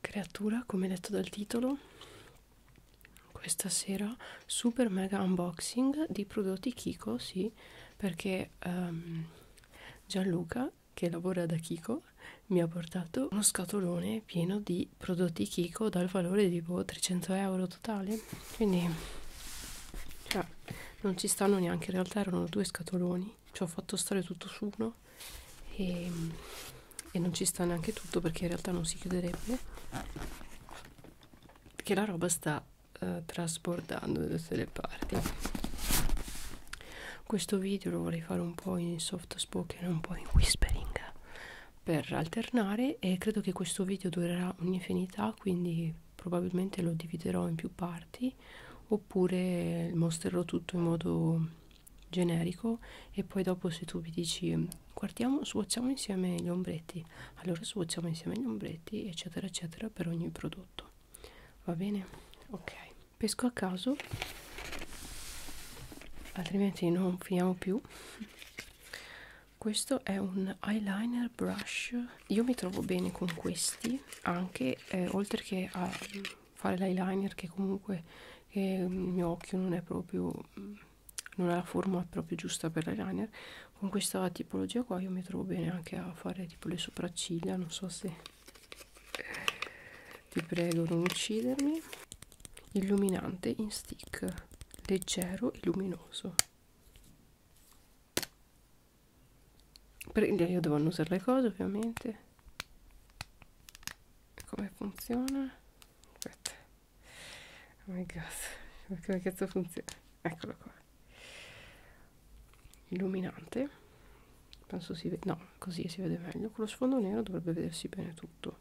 creatura come detto dal titolo questa sera super mega unboxing di prodotti Kiko sì perché um, Gianluca che lavora da Kiko mi ha portato uno scatolone pieno di prodotti Kiko dal valore di boh, tipo 300 euro totale quindi cioè, non ci stanno neanche in realtà erano due scatoloni ci ho fatto stare tutto su uno e e non ci sta neanche tutto perché in realtà non si chiuderebbe perché la roba sta uh, trasbordando da tutte le parti questo video lo vorrei fare un po' in soft spoken un po' in whispering per alternare e credo che questo video durerà un'infinità quindi probabilmente lo dividerò in più parti oppure mostrerò tutto in modo generico e poi dopo se tu mi dici guardiamo, swatchiamo insieme gli ombretti, allora swatchiamo insieme gli ombretti eccetera eccetera per ogni prodotto. Va bene? Ok. Pesco a caso, altrimenti non finiamo più. Questo è un eyeliner brush. Io mi trovo bene con questi, anche eh, oltre che a fare l'eyeliner che comunque che il mio occhio non è proprio mm, non è la forma proprio giusta per l'eyeliner con questa tipologia qua io mi trovo bene anche a fare tipo le sopracciglia non so se ti prego non uccidermi illuminante in stick leggero e luminoso per io devo annusare le cose ovviamente come funziona aspetta Oh my god, come cazzo funziona? Eccolo qua. Illuminante. Penso si vede. No, così si vede meglio. Con lo sfondo nero dovrebbe vedersi bene tutto.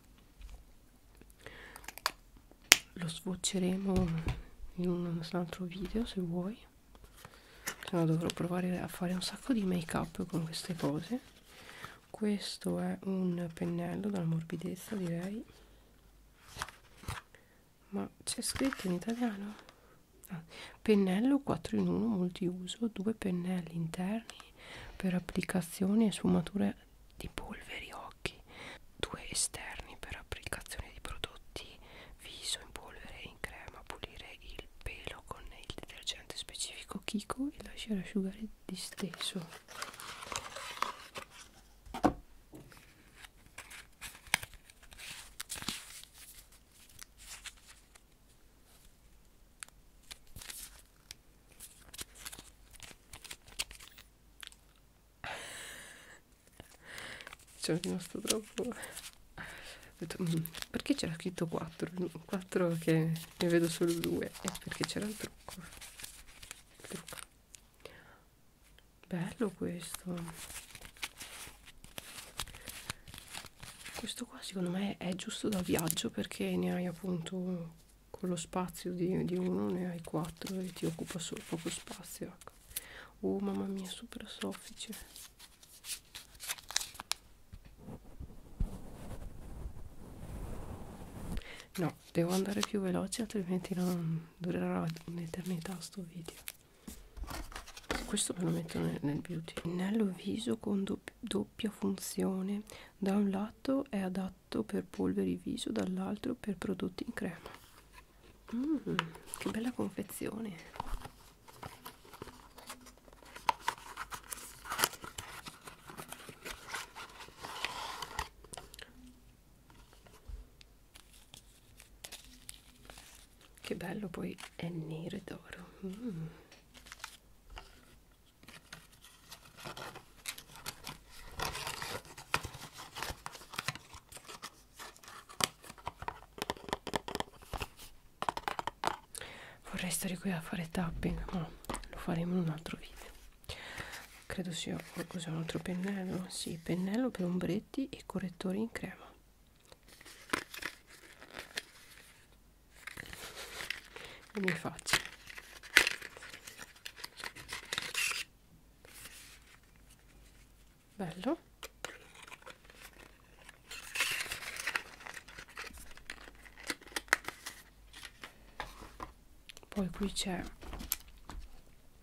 Lo sbocceremo in un altro video se vuoi. Se no dovrò provare a fare un sacco di make up con queste cose questo è un pennello dalla morbidezza direi ma c'è scritto in italiano ah, pennello 4 in 1 multiuso due pennelli interni per applicazioni e sfumature di polveri occhi due esterni per applicazioni di prodotti viso in polvere e in crema pulire il pelo con il detergente specifico Kiko e lasciare asciugare di stesso ci ho rimasto troppo. Detto, mm, perché c'era scritto 4? 4 che ne vedo solo 2 e perché c'era il trucco trucca bello questo questo qua secondo me è giusto da viaggio perché ne hai appunto con lo spazio di, di uno ne hai quattro e ti occupa solo poco spazio ecco. oh mamma mia super soffice no no, devo andare più veloce altrimenti non durerà un'eternità sto video questo ve lo metto nel, nel beauty pennello viso con doppia, doppia funzione da un lato è adatto per polveri viso dall'altro per prodotti in crema mm, che bella confezione che bello poi è nero e d'oro mm. vorrei stare qui a fare tapping ma lo faremo in un altro video credo sia qualcosa un altro pennello sì pennello per ombretti e correttori in crema mi faccio bello poi qui c'è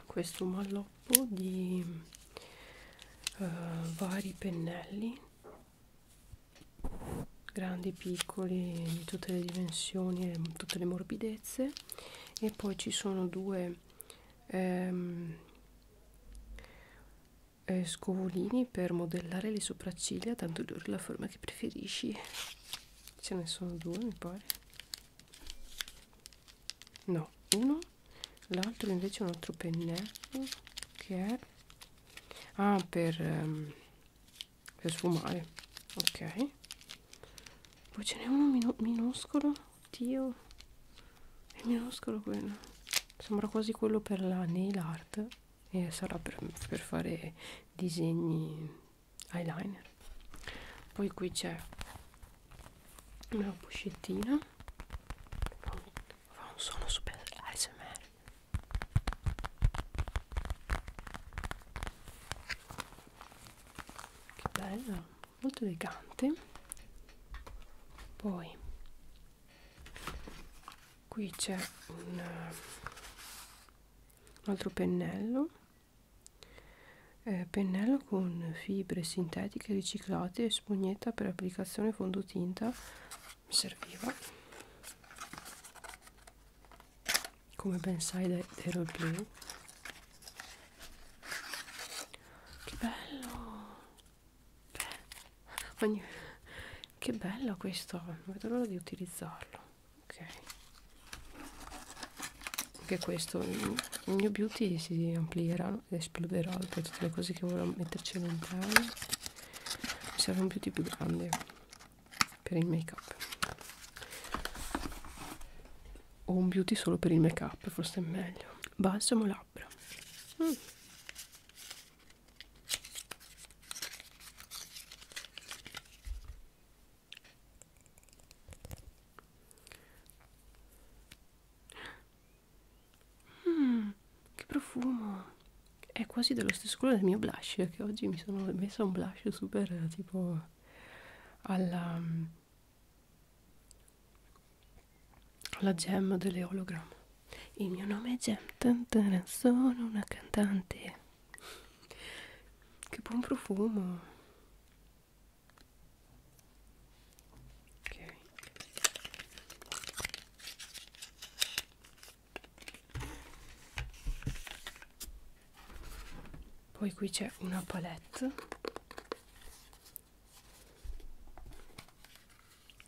questo malloppo di uh, vari pennelli grandi piccoli di tutte le dimensioni e tutte le morbidezze e poi ci sono due ehm, eh, scovolini per modellare le sopracciglia tanto dura la forma che preferisci ce ne sono due mi pare no uno l'altro invece è un altro pennello che è ah per, um, per sfumare ok poi ce n'è uno min minuscolo oddio è minuscolo quello sembra quasi quello per la nail art e sarà per, per fare disegni eyeliner poi qui c'è una puscettina fa un, fa un suono super ASMR che bello molto elegante poi qui c'è un, un altro pennello eh, pennello con fibre sintetiche riciclate e spugnetta per applicazione fondotinta mi serviva come ben sai dai, dai roleplay che bello che, ogni... che bello questo non vedo l'ora di utilizzarlo ok anche questo il mio beauty si amplierà ed esploderà per tutte le cose che volevo metterci all'interno mi serve un beauty più grande per il make up o un beauty solo per il make up forse è meglio balsamo labbra mm. Mm, che profumo! È quasi dello stesso colore del mio blush, che oggi mi sono messa un blush super tipo alla, mm, alla gem delle hologram. Il mio nome è Gem, sono una cantante che buon profumo. Ok. Poi qui c'è una palette.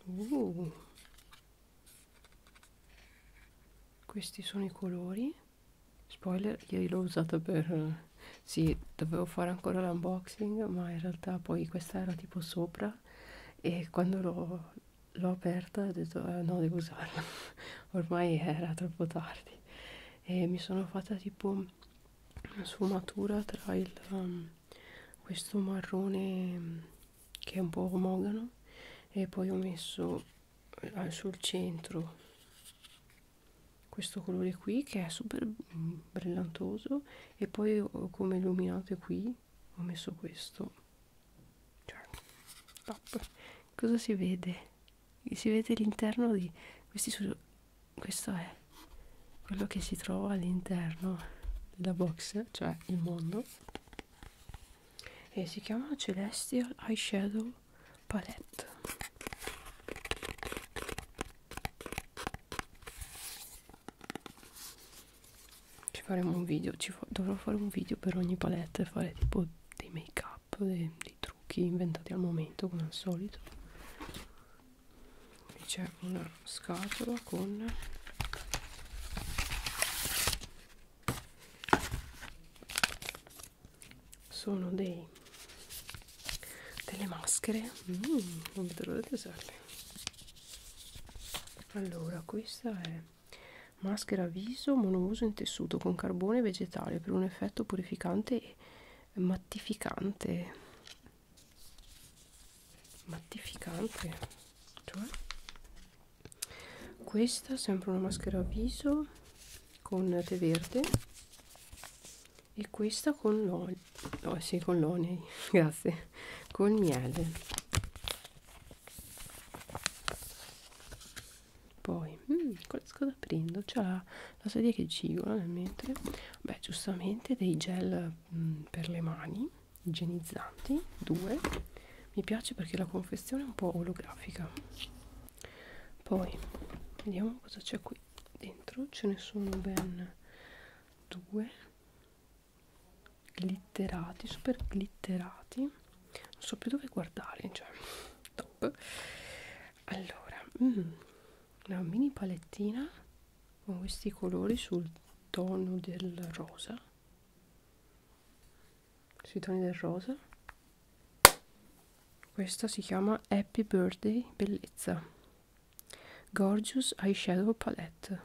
Uh. Questi sono i colori. Spoiler, io l'ho usata per... Eh, sì, dovevo fare ancora l'unboxing, ma in realtà poi questa era tipo sopra e quando l'ho aperta ho detto eh, no, devo usarla, ormai era troppo tardi e mi sono fatta tipo una sfumatura tra il, um, questo marrone mm, che è un po' omogano e poi ho messo eh, sul centro questo colore qui che è super mm, brillantoso e poi come illuminate qui ho messo questo cioè top cosa si vede si vede l'interno di questi su, questo è quello che si trova all'interno della box cioè il mondo e si chiama celestial eyeshadow palette ci faremo un video ci fa dovrò fare un video per ogni palette fare tipo dei make up dei, dei trucchi inventati al momento come al solito qui c'è una scatola con sono dei delle maschere mm, non vedo l'ora di usarle allora questa è maschera viso monouso in tessuto con carbone vegetale per un effetto purificante e mattificante mattificante cioè questa sempre una maschera viso con tè verde e questa con l'olio oh, sì, con l'onei grazie col miele poi mm, cosa prendo c'è la, la sedia che gigola nel mentre beh giustamente dei gel mm, per le mani igienizzanti due mi piace perché la confezione è un po' olografica poi vediamo cosa c'è qui dentro ce ne sono ben due glitterati super glitterati non so più dove guardare cioè top allora mm, una mini palettina con questi colori sul tono del rosa sui toni del rosa questa si chiama Happy Birthday Bellezza Gorgeous Eyeshadow Palette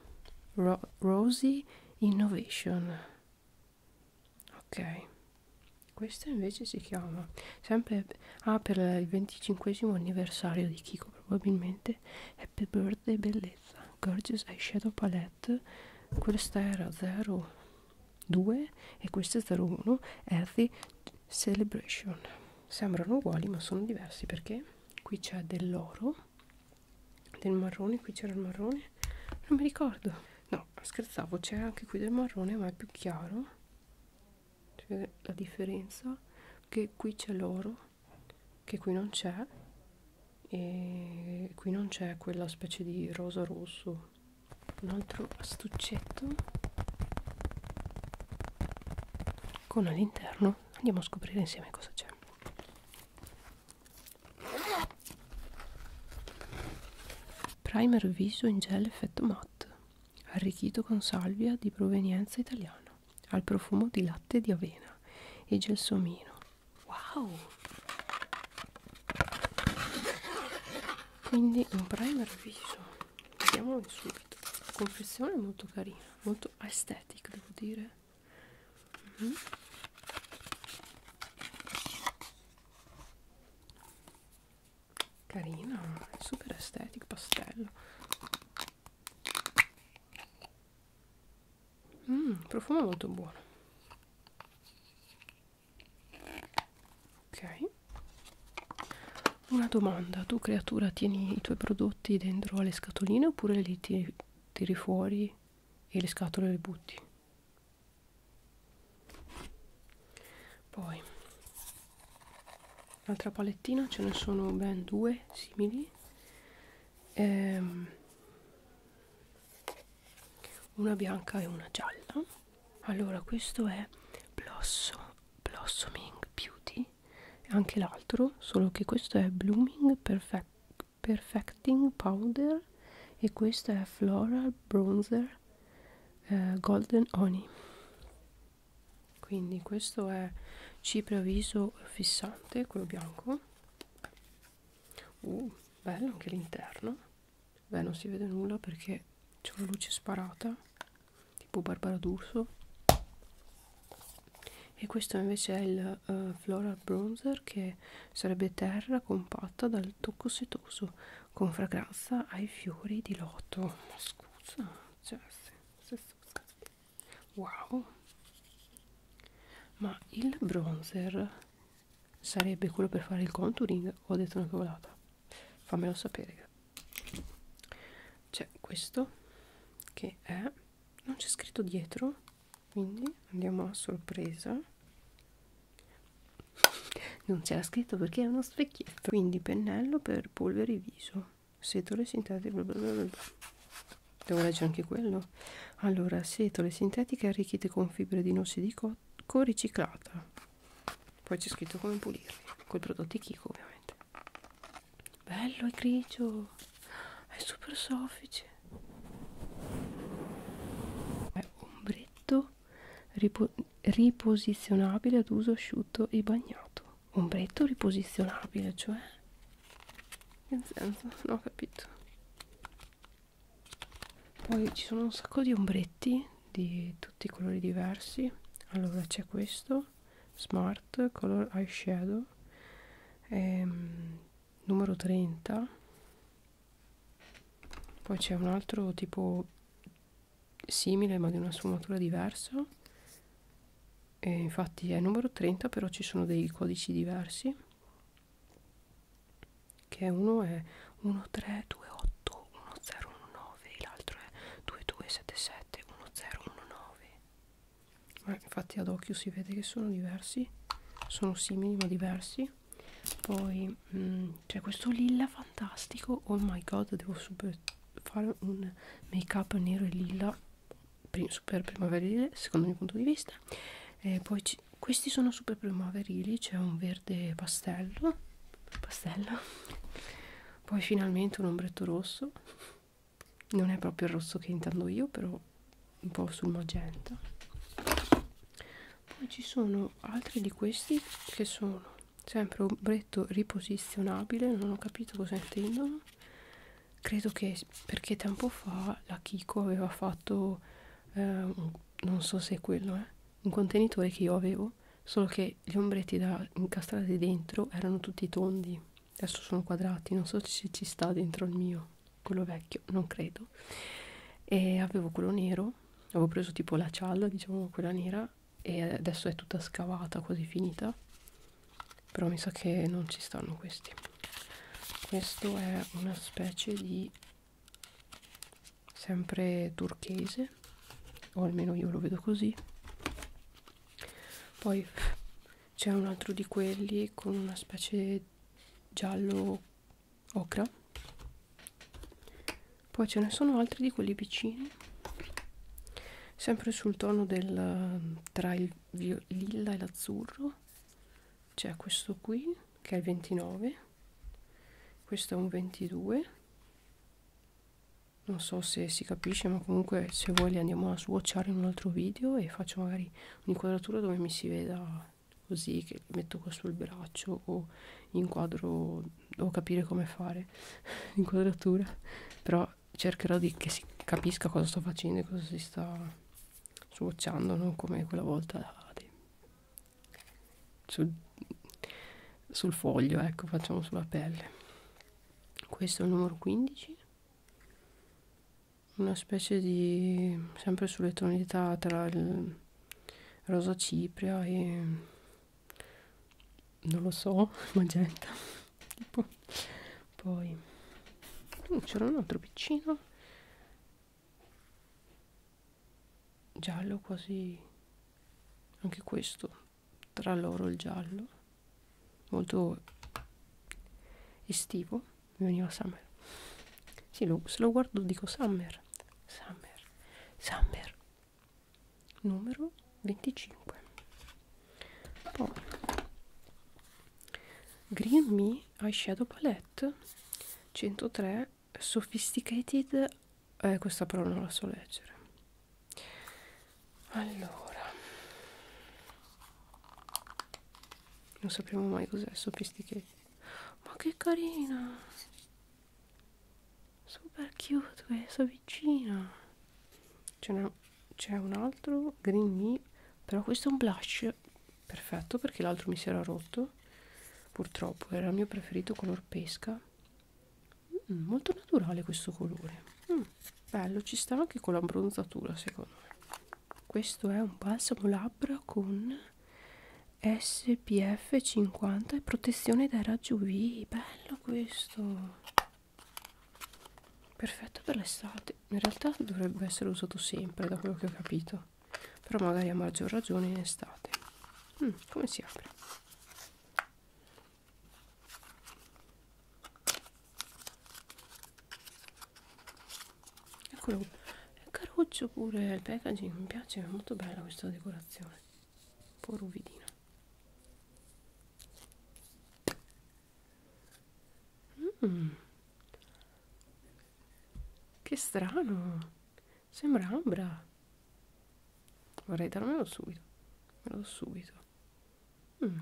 Ro Rosy Innovation ok questa invece si chiama sempre ah, per il 25 anniversario di Kiko probabilmente Happy Birthday Bellezza Gorgeous Eyeshadow Palette questa era 0 2 e questo è 01 Earthy Celebration sembrano uguali ma sono diversi perché qui c'è dell'oro del marrone qui c'era il marrone non mi ricordo no scherzavo c'è anche qui del marrone ma è più chiaro si vede la differenza che qui c'è l'oro che qui non c'è e qui non c'è quella specie di rosa rosso un altro astuccetto con all'interno andiamo a scoprire insieme cosa c'è primer viso in gel effetto matte arricchito con salvia di provenienza italiana al profumo di latte di avena e gelsomino wow quindi un primer viso vediamolo subito la confezione è molto carina molto estetica devo dire mm -hmm. carina super estetica pastello Mmm, profumo molto buono ok una domanda tu creatura tieni i tuoi prodotti dentro alle scatoline oppure li tiri, tiri fuori e le scatole le butti poi l'altra palettina ce ne sono ben due simili ehm, una bianca e una gialla allora questo è Blossom, Blossoming Beauty anche l'altro solo che questo è Blooming Perfect, Perfecting Powder e questo è Floral Bronzer eh, Golden Honey quindi questo è cipria viso fissante quello bianco uh, bello anche l'interno Beh, non si vede nulla perché c'è una luce sparata, tipo Barbara d'Urso. E questo invece è il uh, Floral Bronzer che sarebbe terra compatta dal tocco setoso con fragranza ai fiori di loto. Ma scusa, cioè, se, se, wow! Ma il bronzer sarebbe quello per fare il contouring? Ho detto una cavolata. Fammelo sapere, c'è questo che è non c'è scritto dietro quindi andiamo a sorpresa non c'era scritto perché è uno specchietto quindi pennello per polvere viso setole sintetiche bla bla bla bla devo leggere anche quello allora setole sintetiche arricchite con fibre di noce di cocco riciclata poi c'è scritto come pulirli con i prodotti Kiko ovviamente bello è grigio è super soffice è ombretto ripo riposizionabile ad uso asciutto e bagnato ombretto riposizionabile cioè che senso non ho capito poi ci sono un sacco di ombretti di tutti i colori diversi allora c'è questo smart color eyeshadow ehm, numero 30 poi c'è un altro tipo simile ma di una sfumatura diversa e infatti è numero 30 però ci sono dei codici diversi che uno è 1328109 l'altro è 22 77 1019 eh, infatti ad occhio si vede che sono diversi sono simili ma diversi poi mm, c'è questo lilla fantastico oh my god devo super fare un make up nero e lilla prim super primaverile secondo il mio punto di vista e poi questi sono super primaverili c'è un verde pastello pastello poi finalmente un ombretto rosso non è proprio il rosso che intendo io però un po' sul magenta poi ci sono altri di questi che sono sempre ombretto riposizionabile non ho capito cosa intendono credo che perché tempo fa la Kiko aveva fatto eh, un, non so se è quello eh, un contenitore che io avevo solo che gli ombretti da incastrati dentro erano tutti tondi adesso sono quadrati non so se ci sta dentro il mio quello vecchio non credo e avevo quello nero avevo preso tipo la cialla diciamo quella nera e adesso è tutta scavata quasi finita però mi sa che non ci stanno questi questo è una specie di sempre turchese bene o almeno io lo vedo così poi c'è un altro di quelli con una specie giallo ocra poi ce ne sono altri di quelli piccini sempre sul tono del tra il lilla e l'azzurro c'è questo qui che è il 29 questo è un 22 non so se si capisce ma comunque se vuoi li andiamo a swatchare in un altro video e faccio magari un'inquadratura dove mi si veda così che li metto qua sul braccio o inquadro devo capire come fare l'inquadratura però cercherò di che si capisca cosa sto facendo e cosa si sta swatchando non come quella volta sul, sul foglio ecco facciamo sulla pelle questo è il numero 15 una specie di sempre sulle tonalità tra il rosa cipria e non lo so magenta tipo poi uh, c'era un altro piccino giallo quasi anche questo tra l'oro e il giallo molto estivo mi veniva summer sì, lo, se lo guardo dico summer summer summer numero 25 poi green me eyeshadow palette 103 sophisticated eh, questa parola non la so leggere allora non sapremo mai cos'è sopistichetti ma che carina super cute questa vicina c'è un altro green me però questo è un blush perfetto perché l'altro mi si era rotto purtroppo era il mio preferito color pesca Mm, molto naturale questo colore mm, bello ci sta anche con l'abbronzatura secondo me questo è un balsamo labbra con spf 50 e protezione dai raggi uv bello questo perfetto per l'estate in realtà dovrebbe essere usato sempre da quello che ho capito però magari a maggior ragione in estate mm, come si apre eccolo è caruccio pure il packaging mi piace è molto bella questa decorazione un po' ruvidina mm. che strano sembra ambra vorrei darmelo subito me lo do subito Mm.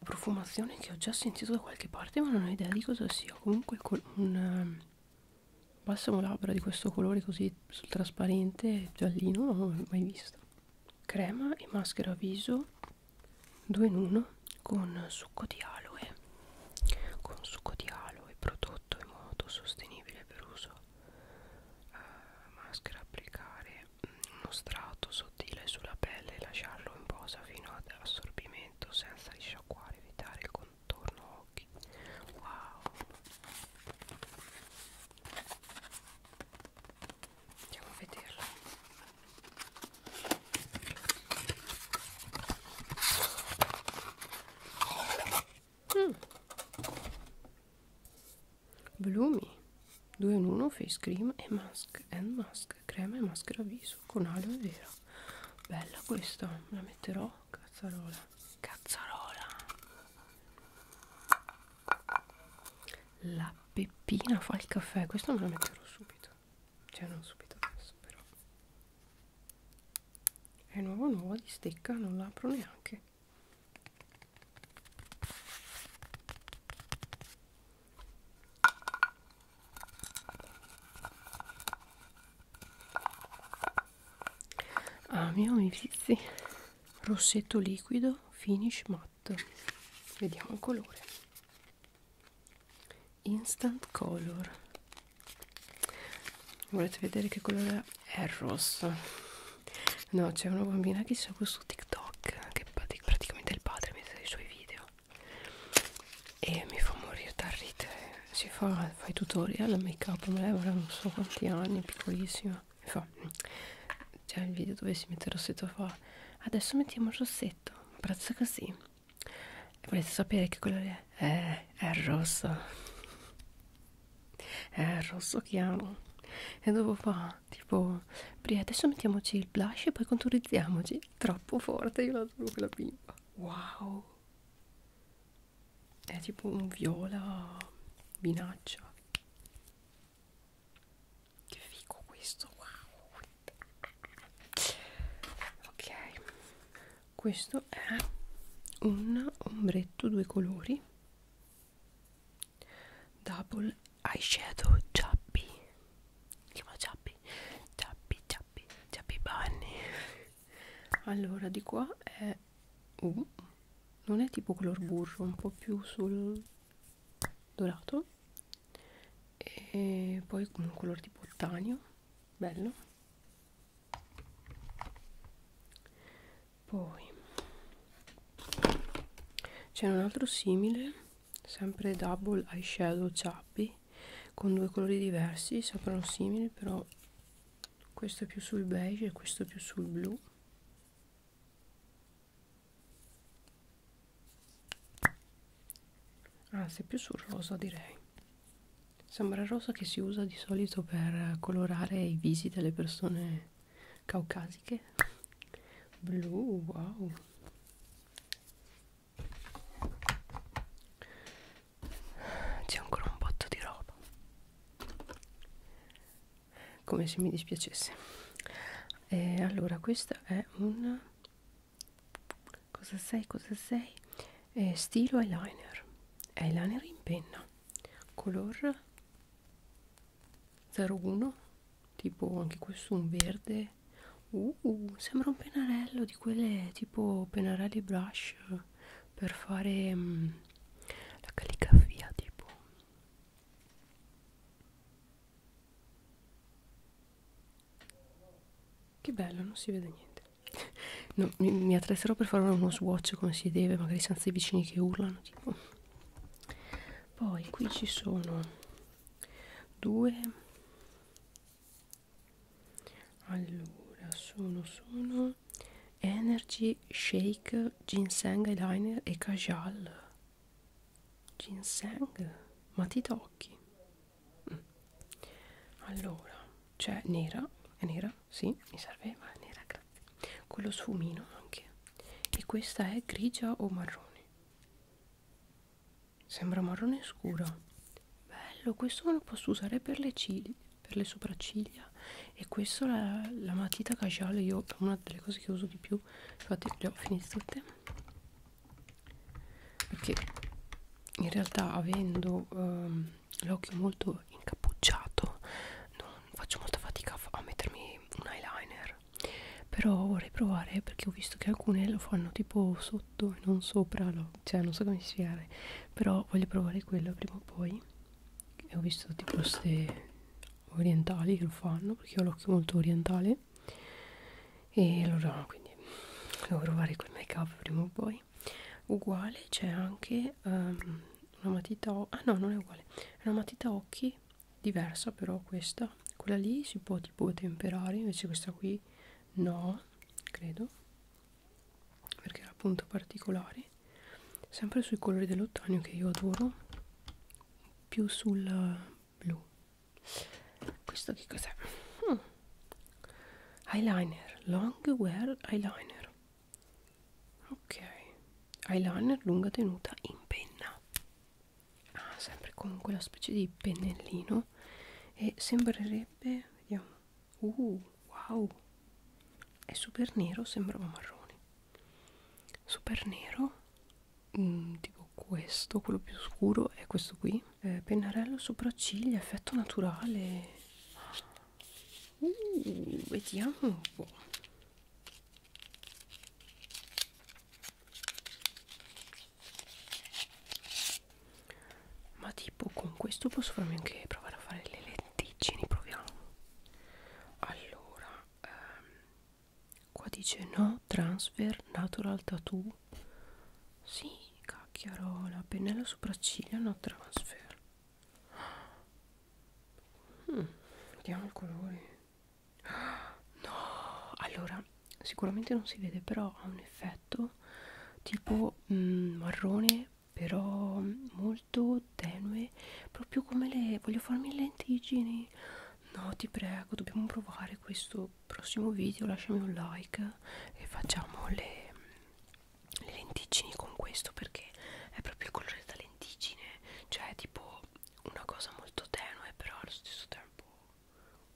Profumazione che ho già sentito da qualche parte, ma non ho idea di cosa sia. Comunque, un ehm, balsamo labbra di questo colore così sul trasparente giallino, non l'ho mai visto. Crema e maschera viso 2 in 1 con succo di aloe con succo di aloe prodotto in modo sostenibile per uso eh, maschera applicare mm, uno strato sottile sulla pelle e lasciarlo in posa fino ad assorbimento senza risciacquare evitare il contorno occhi wow andiamo a vederlo Mm. Blumi 2 in 1 face cream e mask and mask crema e maschera viso con aloe vera bella questa la metterò cazzarola cazzarola la peppina fa il caffè questa me la metterò subito cioè non subito adesso però è nuova nuova di stecca non la apro neanche ah mio mi vizi rossetto liquido finish matte vediamo il colore instant color volete vedere che colore è? è rosso no c'è una bambina che segue su tiktok che praticamente è il padre mette i suoi video e mi fa morire da ridere si fa, fa i tutorial make up ma lei avrà non so quanti anni piccolissima mi fa c'è mm, il video dove si mette il rossetto fa adesso mettiamo il rossetto un prezzo così volete sapere che colore è? Eh, è rosso è rosso chiaro e dopo fa tipo Bri, adesso mettiamoci il blush e poi conturizziamoci troppo forte io la trovo quella bimba wow è tipo un viola vinaccia che figo questo wow ok questo è un ombretto due colori double eyeshadow ciappi chiamo ciappi ciappi ciappi ciappi bunny allora di qua è uh, non è tipo color burro un po' più sul dorato e poi un color tipo tanio bello poi c'è un altro simile sempre double eyeshadow ciappi con due colori diversi sembrano simili però questo più sul beige e questo più sul blu anzi ah, più sul rosa direi Sembra il rosa che si usa di solito per colorare i visi delle persone caucasiche. Blu, wow. C'è ancora un botto di roba. Come se mi dispiacesse. E eh, allora, questa è un... Cosa sei? Cosa sei? eh, stilo eyeliner eyeliner in penna color 01 tipo anche questo un verde uh, sembra un pennarello di quelle tipo pennarelli brush per fare um, la calligrafia tipo che bello non si vede niente No, mi, mi attrezzerò per fare uno swatch come si deve, magari senza i vicini che urlano. Tipo. Poi qui ci sono due. Allora, sono, sono Energy Shake Ginseng Eyeliner e Kajal. Ginseng, ma ti tocchi? Mm. Allora, c'è nera, è nera, sì, mi serve ma nera, grazie. Quello sfumino anche. E questa è grigia o marrone? Sembra marrone scuro. Bello, questo lo posso usare per le ciglia, per le sopracciglia. E questo la, la matita casual, io è una delle cose che uso di più. Infatti le ho finite tutte. Perché in realtà avendo um, l'occhio molto incappucciato non faccio molta fatica a mettermi un eyeliner però vorrei provare perché ho visto che alcune lo fanno tipo sotto e non sopra lo, cioè non so come spiegare però voglio provare quello prima o poi e ho visto tipo queste orientali che lo fanno perché ho l'occhio molto orientale e allora quindi devo provare quel make up prima o poi poi uguale c'è anche um, una matita ah no non è uguale è una matita occhi diversa però questa quella lì si può tipo temperare invece questa qui no credo perché era appunto particolare sempre sui colori dell'ottanio che io adoro più sul blu questo che cos'è? Hmm. eyeliner long wear eyeliner ok eyeliner lunga tenuta in penna ah, sempre con quella specie di pennellino e sembrerebbe vediamo uh wow è super nero sembrava marrone super nero mm, tipo questo quello più scuro è questo qui eh, pennarello sopracciglia effetto naturale Uh, vediamo un po'. Ma tipo con questo posso farmi anche provare a fare le letticini, proviamo. Allora, ehm, qua dice no transfer natural tattoo. Sì, cacchiarola, pennello sopracciglia no transfer. Mm, vediamo i colori. No, allora sicuramente non si vede, però ha un effetto tipo mm, marrone, però molto tenue, proprio come le voglio farmi le lentiggini. No, ti prego, dobbiamo provare questo prossimo video. Lasciami un like e facciamo le le lenticini con questo perché è proprio il colore della lenticine cioè è tipo una cosa molto tenue però allo stesso tempo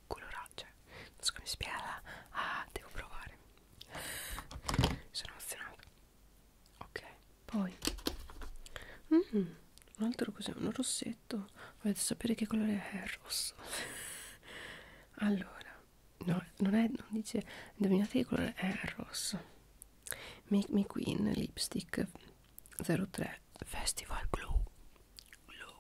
colorata cioè, non so come si spiega ah devo provare sono emozionata ok poi mm, un altro cos'è un rossetto volete sapere che colore è il rosso allora no, non è, non dice, indovinate che colore è il rosso Make Me Queen Lipstick 03 Festival Glow Glow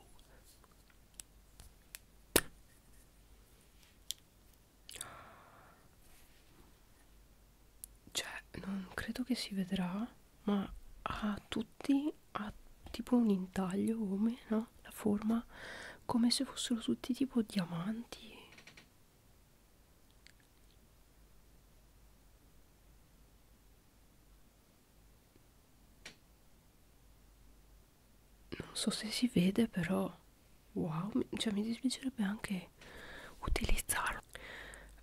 cioè, non credo che si vedrà, ma a tutti ha tipo un intaglio come, no? La forma come se fossero tutti tipo diamanti non so se si vede però, wow, cioè mi dispiacerebbe anche utilizzarlo.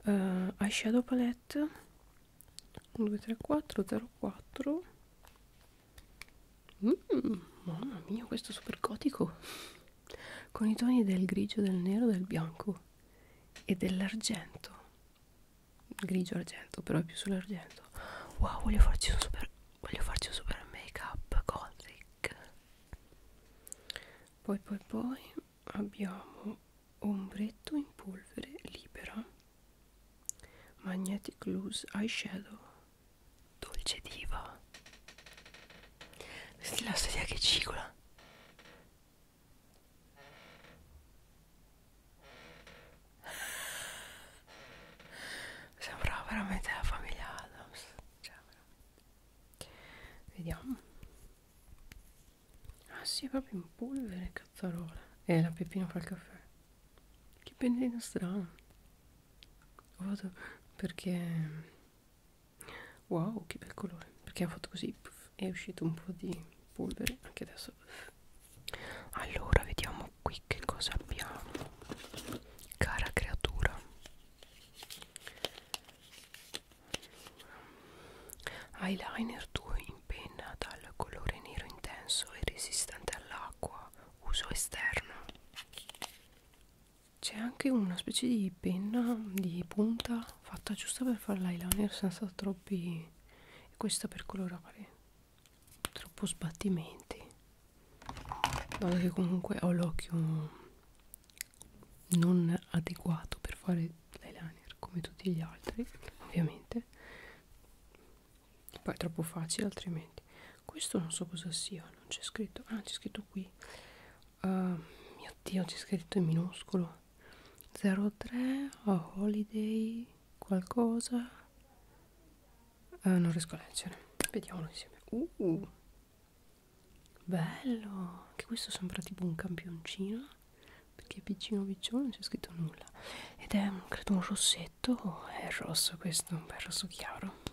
Uh, eyeshadow palette 1, 2, 3, 4, 0, 4. Mm, mamma mia, questo è super gotico con i toni del grigio, del nero, del bianco e dell'argento. Grigio argento, però è più sull'argento. Wow, voglio farci un super, voglio farci un super make up gothic. Poi poi poi abbiamo ombretto in polvere libera. Magnetic Loose Eyeshadow Dolce diva Senti la sedia che cicola Sembrava veramente la famiglia Adams cioè, Vediamo Ah si sì, è proprio in polvere cazzarola E eh, la peppina fa il caffè Che pendino strano Vado perché wow che bel colore perché ha fatto così è uscito un po' di polvere anche adesso allora vediamo qui che cosa abbiamo cara creatura eyeliner 2 in penna dal colore nero intenso e resistente all'acqua uso esterno c'è anche una specie di penna di punta fatta giusta per fare l'eyeliner senza troppi questa per colorare troppo sbattimenti dato che comunque ho l'occhio non adeguato per fare l'eyeliner come tutti gli altri ovviamente poi è troppo facile altrimenti questo non so cosa sia non c'è scritto ah c'è scritto qui uh, mio dio c'è scritto in minuscolo 03 oh, holiday qualcosa uh, non riesco a leggere vediamolo insieme uh, uh. bello che questo sembra tipo un campioncino perché piccino piccino non c'è scritto nulla ed è credo un rossetto oh, è rosso questo un bel rosso chiaro